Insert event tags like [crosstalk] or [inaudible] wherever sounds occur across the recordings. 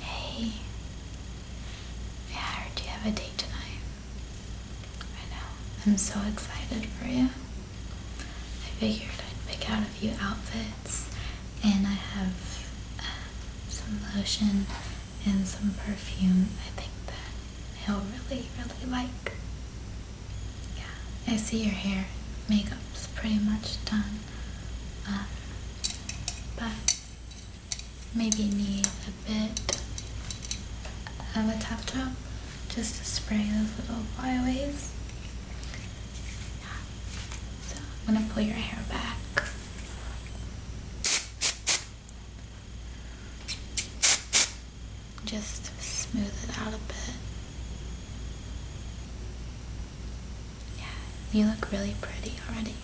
Hey, I heard you have a date tonight. I know, I'm so excited for you. I figured I'd pick out a few outfits, and I have uh, some lotion and some perfume I think that he'll really, really like. Yeah, I see your hair. Makeup's pretty much done. Uh, but maybe need a bit of a tap top just to spray those little flyaways. Yeah. So I'm gonna pull your hair back. Just smooth it out a bit. Yeah, you look really pretty already.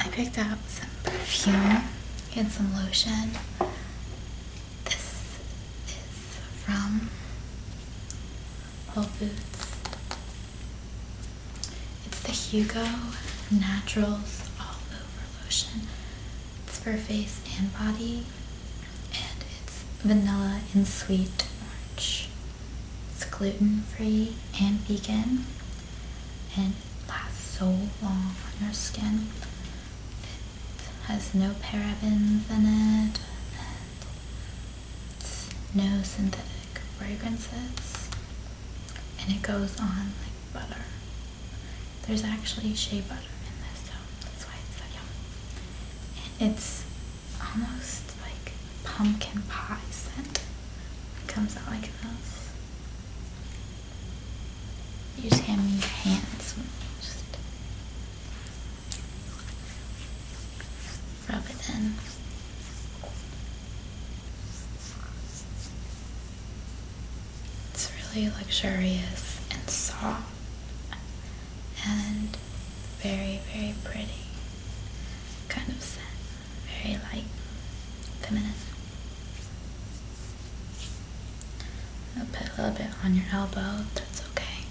I picked out some perfume and some lotion. This is from Whole Foods. It's the Hugo Naturals All Over Lotion. It's for face and body and it's vanilla and sweet orange. It's gluten free and vegan, and lasts so long on your skin. It has no parabens in it, and it's no synthetic fragrances, and it goes on like butter. There's actually shea butter in this, that's why it's so yummy. it's almost like pumpkin pie scent. It comes out like this. You just hand me your hands. Just rub it in. It's really luxurious and soft and very, very pretty. Kind of set, very light, feminine. Put a little bit on your elbow, that's okay.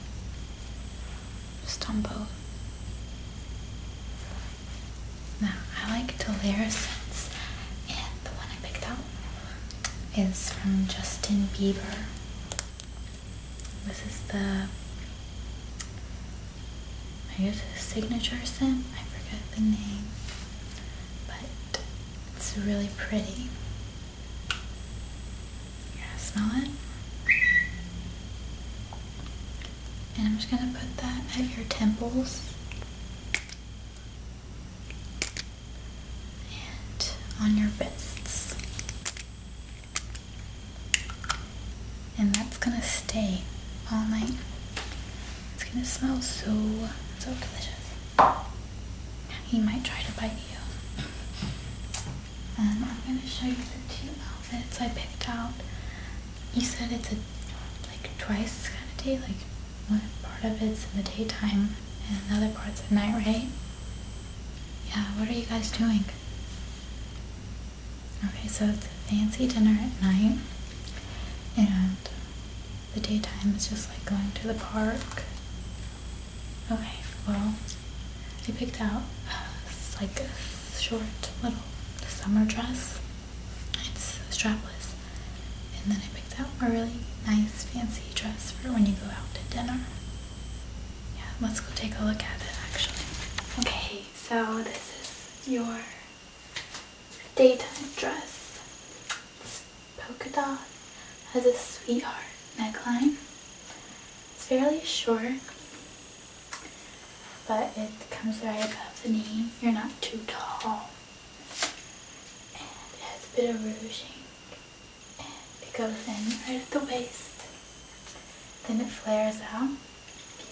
Just on both. Now, I like Delirious, and the one I picked out is from Justin Bieber. This is the, I guess signature scent, I forget the name, but it's really pretty. You guys smell it? And I'm just gonna put that at your temples and on your wrists. And that's gonna stay all night. It's gonna smell so, so delicious. He might try to bite you. And um, I'm gonna show you the two outfits I picked out. You said it's a like twice kind of day, like one part of it's in the daytime and another part's at night, right? Yeah, what are you guys doing? Okay, so it's a fancy dinner at night, and the daytime is just like going to the park. Okay, well, I picked out [sighs] like a short little summer dress. It's strapless, and then I picked out a really nice fancy dress for when you go out to dinner. Yeah, let's go take a look at it actually. Okay, so this is your daytime dress. It's polka dot, has a sweetheart neckline. It's fairly short, but it comes right above the knee. You're not too tall. And it has a bit of rouging it goes in right at the waist then it flares out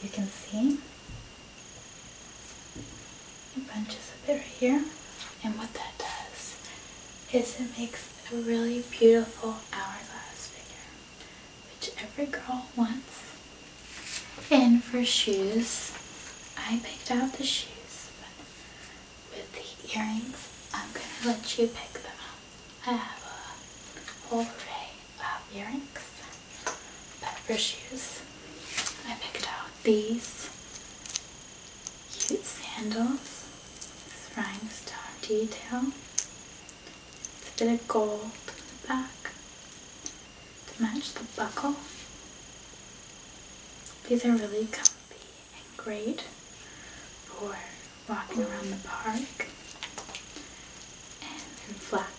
you can see it bunches a bit right here and what that does is it makes a really beautiful hourglass figure which every girl wants and for shoes I picked out the shoes with the earrings, I'm gonna let you pick them up. I have a whole array of earrings, but for shoes, I picked out these cute sandals, this rhinestone detail, it's a bit of gold in the back to match the buckle. These are really comfy and great for walking around the park and in flats.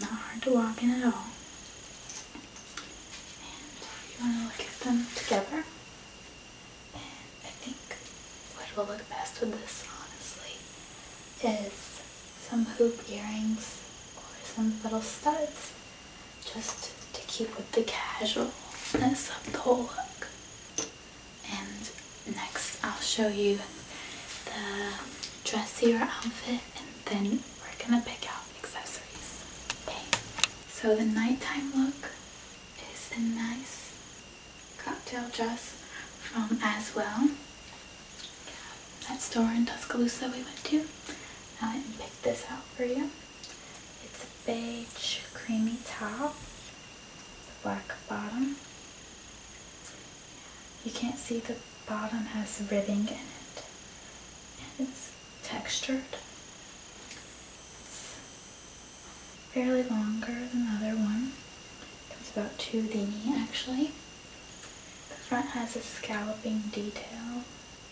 not hard to walk in at all. And you want to look at them together. And I think what will look best with this, honestly, is some hoop earrings or some little studs just to keep with the casualness of the whole look. And next I'll show you the dressier outfit and then we're gonna pick out accessories. so the nighttime look is a nice cocktail dress from As Well that store in Tuscaloosa we went to. I went and picked this out for you. It's a beige creamy top, black bottom. You can't see the bottom has ribbing in it. And it's textured. It's fairly longer than the other one. It comes about to the knee actually. The front has a scalloping detail.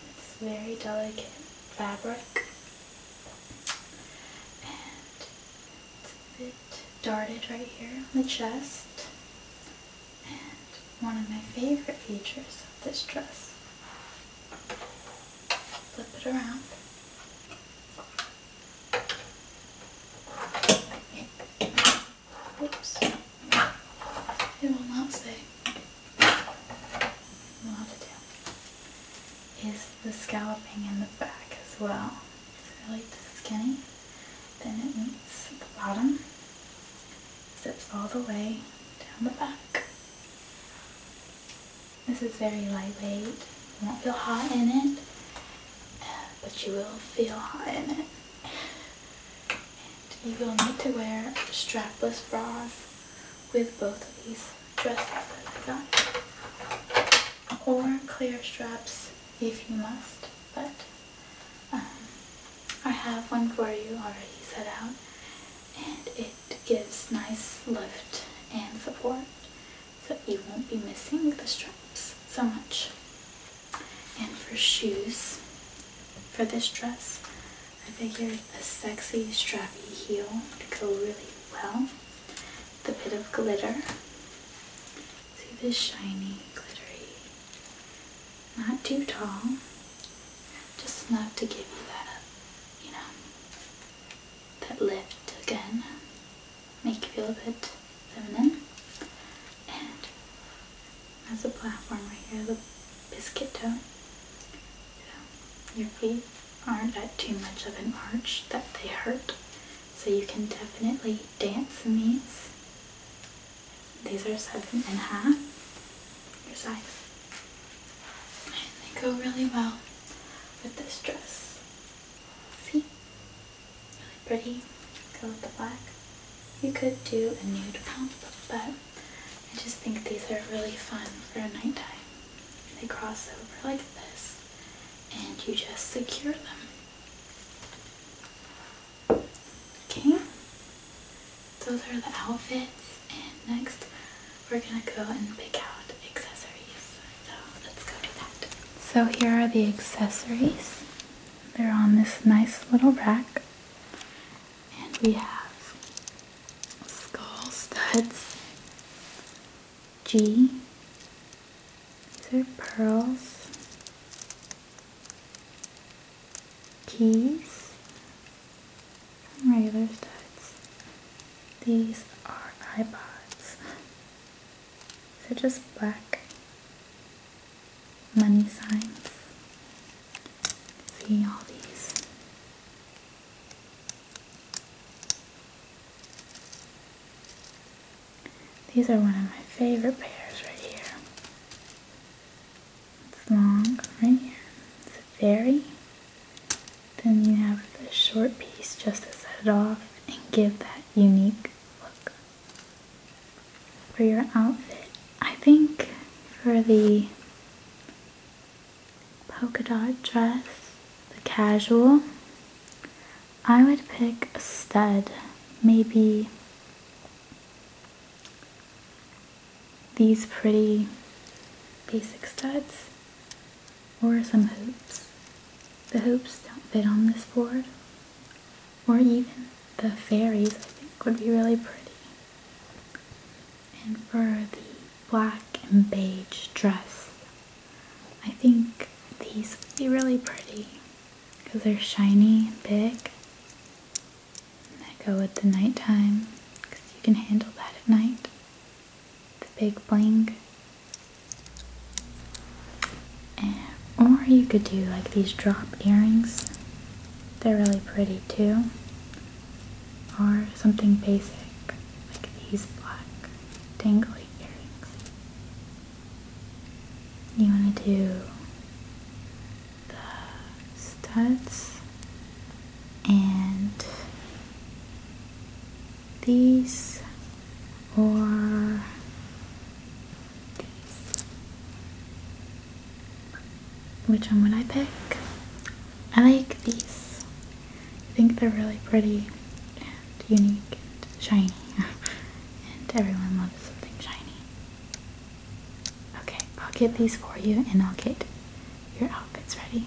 It's very delicate fabric. And it's a bit darted right here on the chest. And one of my favorite features of this dress. Flip it around. Oops. It will not say. We'll have to do. Is the scalloping in the back as well. It's really skinny. Then it meets the bottom. Sits all the way down the back. This is very lightweight. You won't feel hot in it, but you will feel hot in it you will need to wear strapless bras with both of these dresses that I got. Or clear straps if you must, but um, I have one for you already set out and it gives nice lift and support so you won't be missing the straps so much. And for shoes, for this dress, I figured a sexy strappy heel would go really well. The bit of glitter. See this shiny, glittery. Not too tall. Just enough to give you that, you know, that lift again make you feel a bit feminine. And that's a platform right here, the biscuit tone. your feet aren't at too much of an arch that they hurt. So you can definitely dance in these. These are seven and a half, your size. they go really well with this dress. See? really pretty. Go with the black. You could do a nude pump, but I just think these are really fun for nighttime. They cross over like this, and you just secure them. Okay, those are the outfits, and next we're gonna go and pick out accessories. So here are the accessories. They're on this nice little rack. And we have skull studs, G, these are pearls, keys, some regular studs. These are iPods. They're just black money signs. See all these. These are one of my favorite pairs right here. It's long right here. It's a very. Then you have the short piece just to set it off and give that unique look for your outfit. I think for the polka dot dress, the casual, I would pick a stud, maybe these pretty basic studs or some hoops. The hoops don't fit on this board, or even the fairies I think would be really pretty. And for the black and beige dress, I think these would be really pretty because they're shiny and big. And that go with the nighttime because you can handle that at night the big bling. or you could do like these drop earrings. They're really pretty too. Or something basic like these black dangly earrings. You want to do the studs and these or these. Which one would I pick? I like these. I think they're really pretty and unique and shiny. [laughs] and everyone loves something shiny. Okay, I'll get these for you and I'll get your outfits ready.